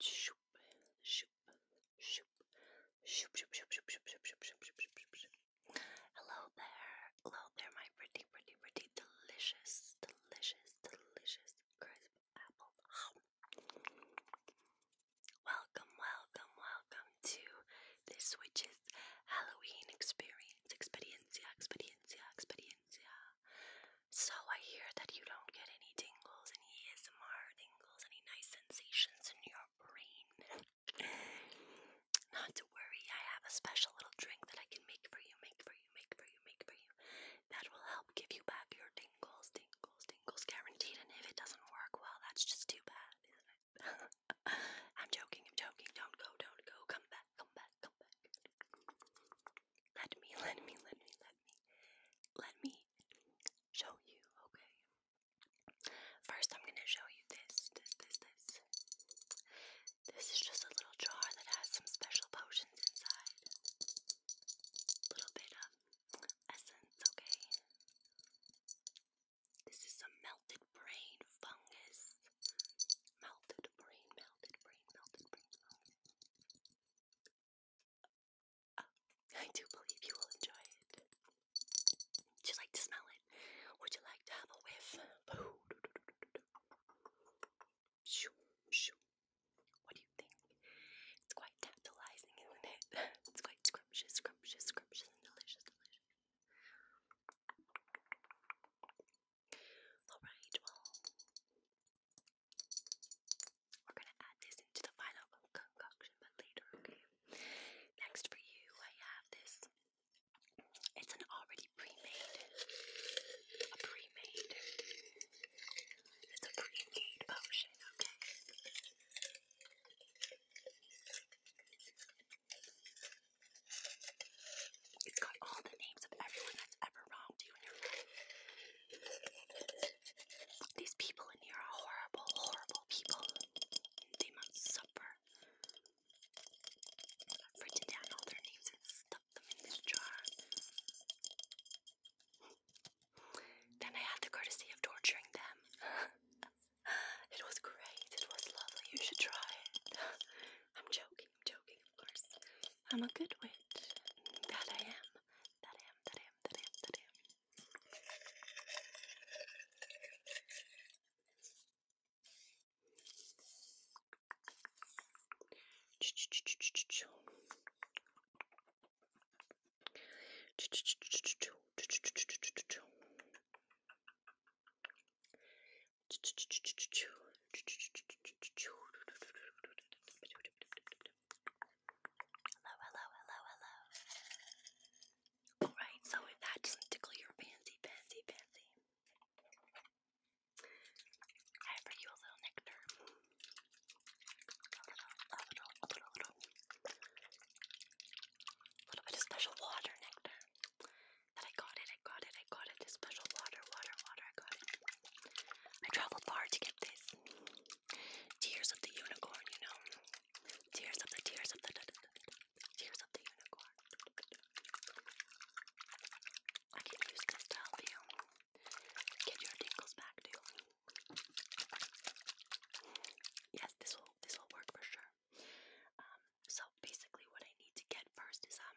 Shoop, shoop, shoop, shoop, shoop, shoop, shoop, shoop, shoop, shoop, shoop, shoop, shoop, shoop. Hello there, hello there, my pretty, pretty, pretty, delicious, delicious, delicious crisp apples. Welcome, welcome, welcome to this witch's Halloween experience, experiencia, experiencia, experiencia yeah. So I hear that you don't get any tingles, any ASMR tingles, any nice sensations in your brain. Not to worry, I have a special little drink that I can make for you, make for you, make for you, make for you. That will help give you back your tingles, tingles, tingles, guaranteed. And if it doesn't work, well, that's just too bad, isn't it? I'm joking, I'm joking. Don't go, don't go. Come back, come back, come back. Let me, let me, let me, let me, let me show you, okay? First, I'm gonna show you this, this, this, this. This is just a little jar that has some special potions inside. A little bit of essence, okay? This is some melted brain fungus. Melted brain, melted brain, melted brain fungus. I do believe you will enjoy it. Would you like to smell it? Would you like to have a whiff? Shoo, shoo. What do you think? It's quite tantalizing, isn't it? It's quite scrumptious, scrumptious, scrumptious, and delicious, delicious. Alright, well, we're going to add this into the final concoction, later, Next for you, I have this. It's an already pre-made, a pre-made, it's a pre-made potion, okay? It's got all the names of everyone that's ever wronged you These people in here are horrible, horrible people. They must suffer. I've written down all their names and stuck them in this jar. Then I had the courtesy of torturing them. It was great. It was lovely. You should try it. I'm joking. I'm joking, of course. I'm a good witch. That I am. That I am, that I am, that I am, that I am hello, hello, hello. Alright, so that does tickle your fancy, fancy, fancy, I have you a little nectar. a little, a little, a little. A little bit of special water nectar that I got it, I got it, I got it. This special water, water, water. I got it. I traveled far to get this. Tears of the unicorn, you know. Tears of the tears of the tears of the unicorn. I can use this to help you get your tingles back, too. Yes, this will this will work for sure. Um, so basically, what I need to get first is um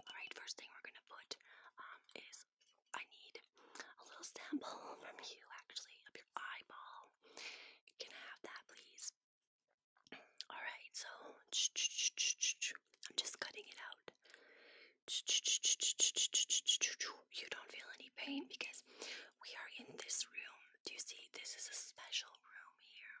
Alright, first thing we're gonna put um, is I need a little sample from you actually of your eyeball. Can I have that please? Alright, so I'm just cutting it out. You don't feel any pain because we are in this room. Do you see? This is a special room here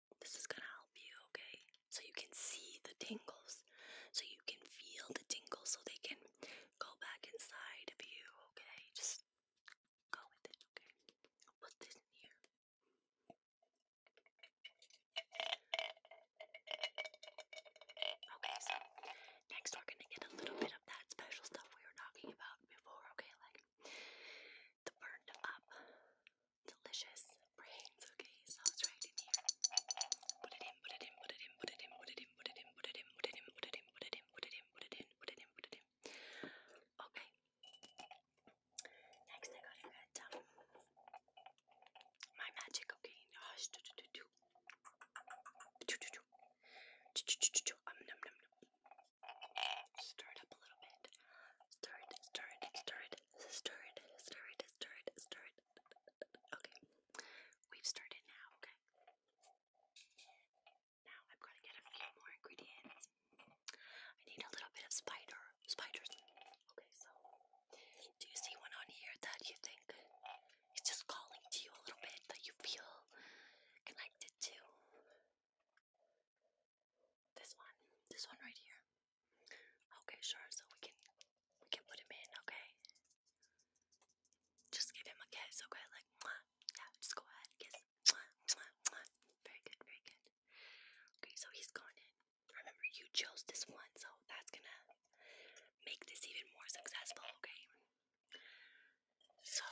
This is gonna help you, okay? So you can see the tingles, so you can feel the tingles, so they can go back inside of you, okay? Just go with it, okay? put this in here. Okay, so next we're gonna get a little bit of that special stuff we were talking about before, okay? Like the burned up delicious brains. Okay, so it's right in it in, put it in, put it in, put it in, put it in, put it in, put it in, put it in, put it in, put it in, put it in, put it in, put it in, put it in. Okay. Next, I got my magic. Okay, hush. Do do do do. Do do do. Um, num, num, num. Stir it up a little bit. Stir it, stir it, stir it, Start, start, start, start. Okay. We've started now, okay? Now I've got to get a few more ingredients. I need a little bit of spider, spiders. Okay, so do you see one on here that you think is just calling to you a little bit that you feel connected to? This one, this one right here. Okay, sure. So we can we can put him in. Okay. Just give him a kiss. Okay, like mwah. yeah. Just go ahead, kiss. Very good, very good. Okay, so he's gone in. Remember, you chose this one, so that's gonna make this even more successful. Okay. So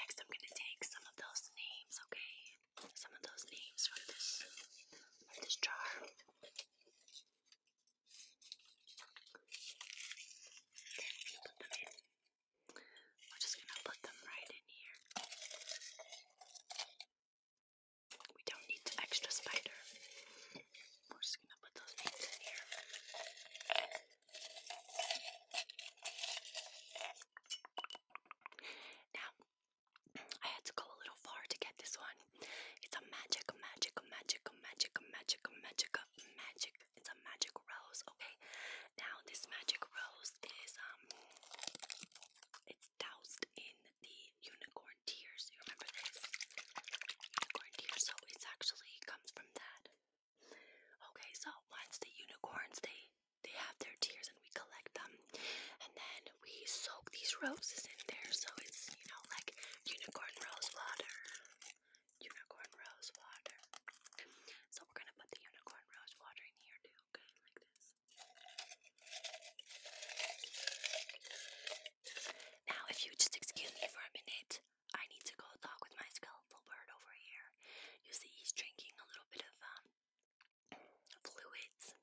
next, I'm gonna take some of those names. Okay some of those names from this from this jar. Then put them in. We're just gonna put them right in here. We don't need extra spider. We're just gonna put those names in here. Now, I had to go a little far to get this one. It's a magic, magic, magic, magic, magic, magic, magic. It's a magic rose, okay? Now this magic rose is um it's doused in the unicorn tears. You remember this? Unicorn tears, so it's actually comes from that. Okay, so once the unicorns they they have their tears and we collect them and then we soak these roses in there so it's you know like unicorn rose water unicorn rose water so we're gonna put the unicorn rose water in here too okay like this now if you just excuse me for a minute I need to go talk with my skeletal bird over here you see he's drinking a little bit of um fluids.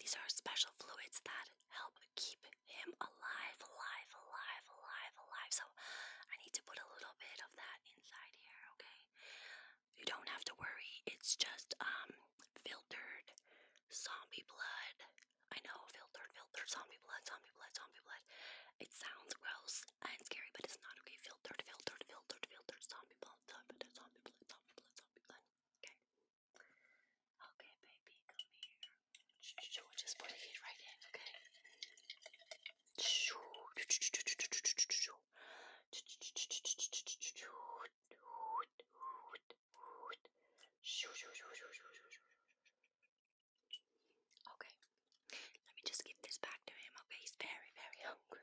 These are special fluids that help keep him alive, alive, alive, alive, alive. So I need to put a little bit of that inside here, okay? You don't have to worry. It's just um filtered zombie blood. I know, filtered, filtered zombie blood, zombie blood, zombie blood. It sounds gross and scary, but it's not okay. Filtered, filtered, filtered, filtered zombie blood, zombie blood, zombie blood, zombie blood. Okay. Okay, baby, come here. just put it right in, okay? Okay. Let me just give this back to him, okay? He's very, very hungry.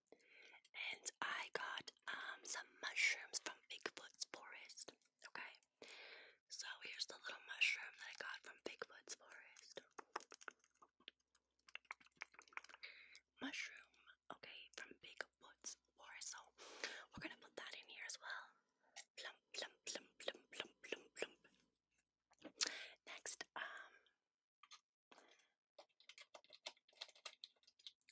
And I got um some mushrooms from Bigfoot's forest. Okay. So here's the little mushroom that I got from Bigfoot's forest. Mushroom, okay, from Bigfoot's forest. So we're gonna put that in here as well. Plump, plump, plump, plump, plump, plump, plump. Next, um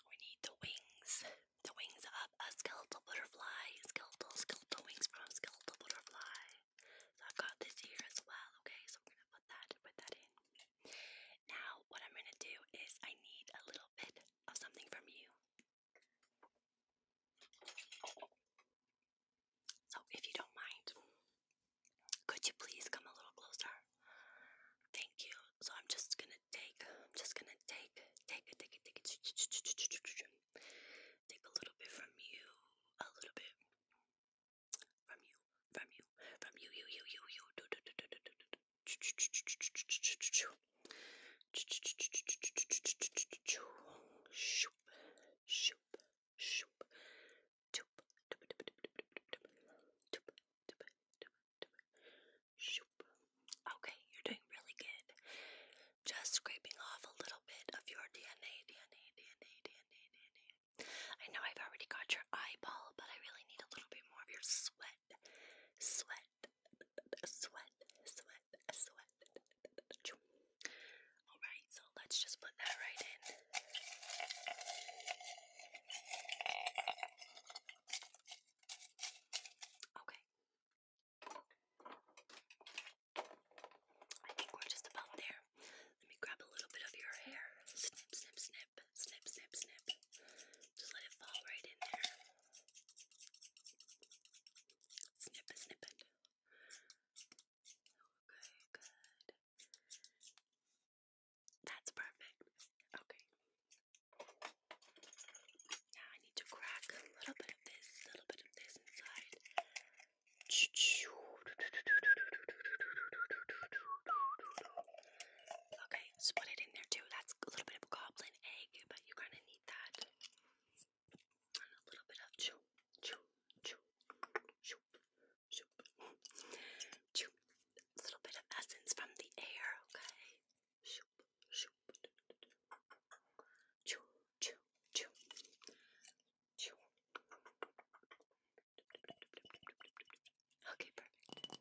we need the wings. The wings of a skeletal butterfly. Skeletal, skeletal wings from skeletal butterfly. So I've got this here as well. Okay, so we're gonna put that put that in. Now what I'm gonna do is I need a little bit of something from you. So if you don't mind, could you please come a little closer? Thank you. So I'm just gonna going take, I'm just gonna take, take it, take take take a little bit from you, a little bit from you, from you, from you, you, you, you, you, do, do, do, do, do, do, shoop, shoop, shoop, toop, toop, toop, toop, toop, toop, toop, toop, toop, Shoop. Okay, you're doing really good. Just scraping off a little bit of your DNA, DNA, DNA, DNA, DNA. I know I've already got your eyeball, but I really need a little bit more of your sweat. Sweat. Sweat. Sweat. Sweat. Alright, so let's just put that right in. Okay. I think we're just about there. Let me grab a little bit of your hair. Snip, snip, snip, snip, snip, snip. Just let it fall right in there. Snip, snip it. Okay, good. That's perfect. Okay, now I need to crack a little bit of this, a little bit of this inside. Okay, put it in there too. That's a little bit of goblin egg, but you're gonna need that. And a little bit of chew, chew, chew, chew, chew, A little bit of essence from the air, okay? Shoop, shoop. Choo, choo, choo. Choo. Okay, perfect. Okay.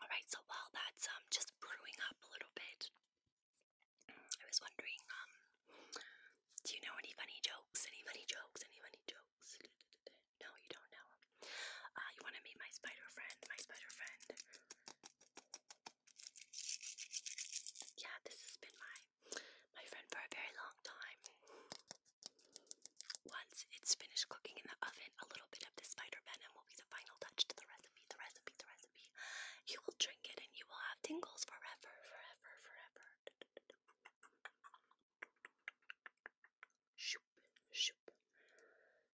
Alright, so while that's um, just brewing up a little bit, I was wondering, um, do you know any funny jokes? Any funny jokes? Any funny jokes? No, you don't know. Uh, you want to meet my spider friend? My spider friend yeah, this has been my my friend for a very long time. Once it's finished cooking in the oven, a little bit of the spider venom will be the final touch to the recipe, the recipe, the recipe. You will drink it and you will have tingles forever, forever, forever. Shoop, shoop,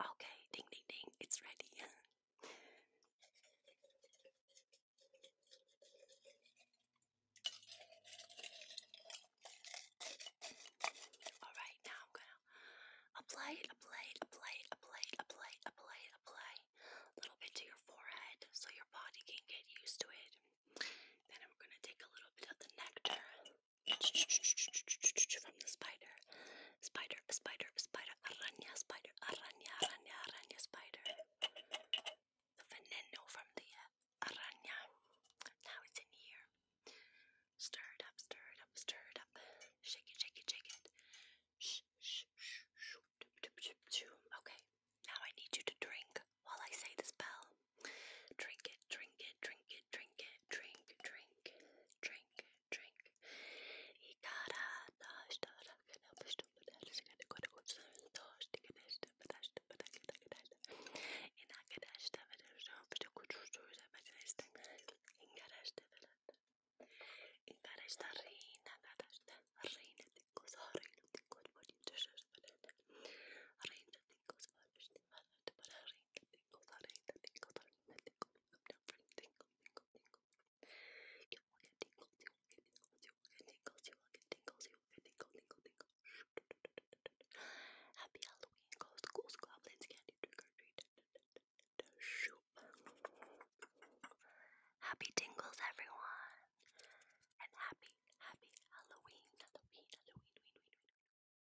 Okay, ding ding ding, it's ready. Alright, now I'm gonna apply apply apply apply apply apply apply a little bit to your forehead so your body can get used to it. Then I'm gonna take a little bit of the nectar from the spider. Spider, spider, spider, araña, spider, araña, araña, araña, spider. The veneno from the uh, araña. Now it's in here. Stir it up, stir it up, stir it up. Shake it, shake it, shake it. Okay, now I need you to drink while I say the spell. Drink it, drink it, drink it drink it, drink, drink, drink, drink. Reina Happy Halloween, ghost, goblins, candy, trick Happy tingles, everyone. And happy, happy Halloween.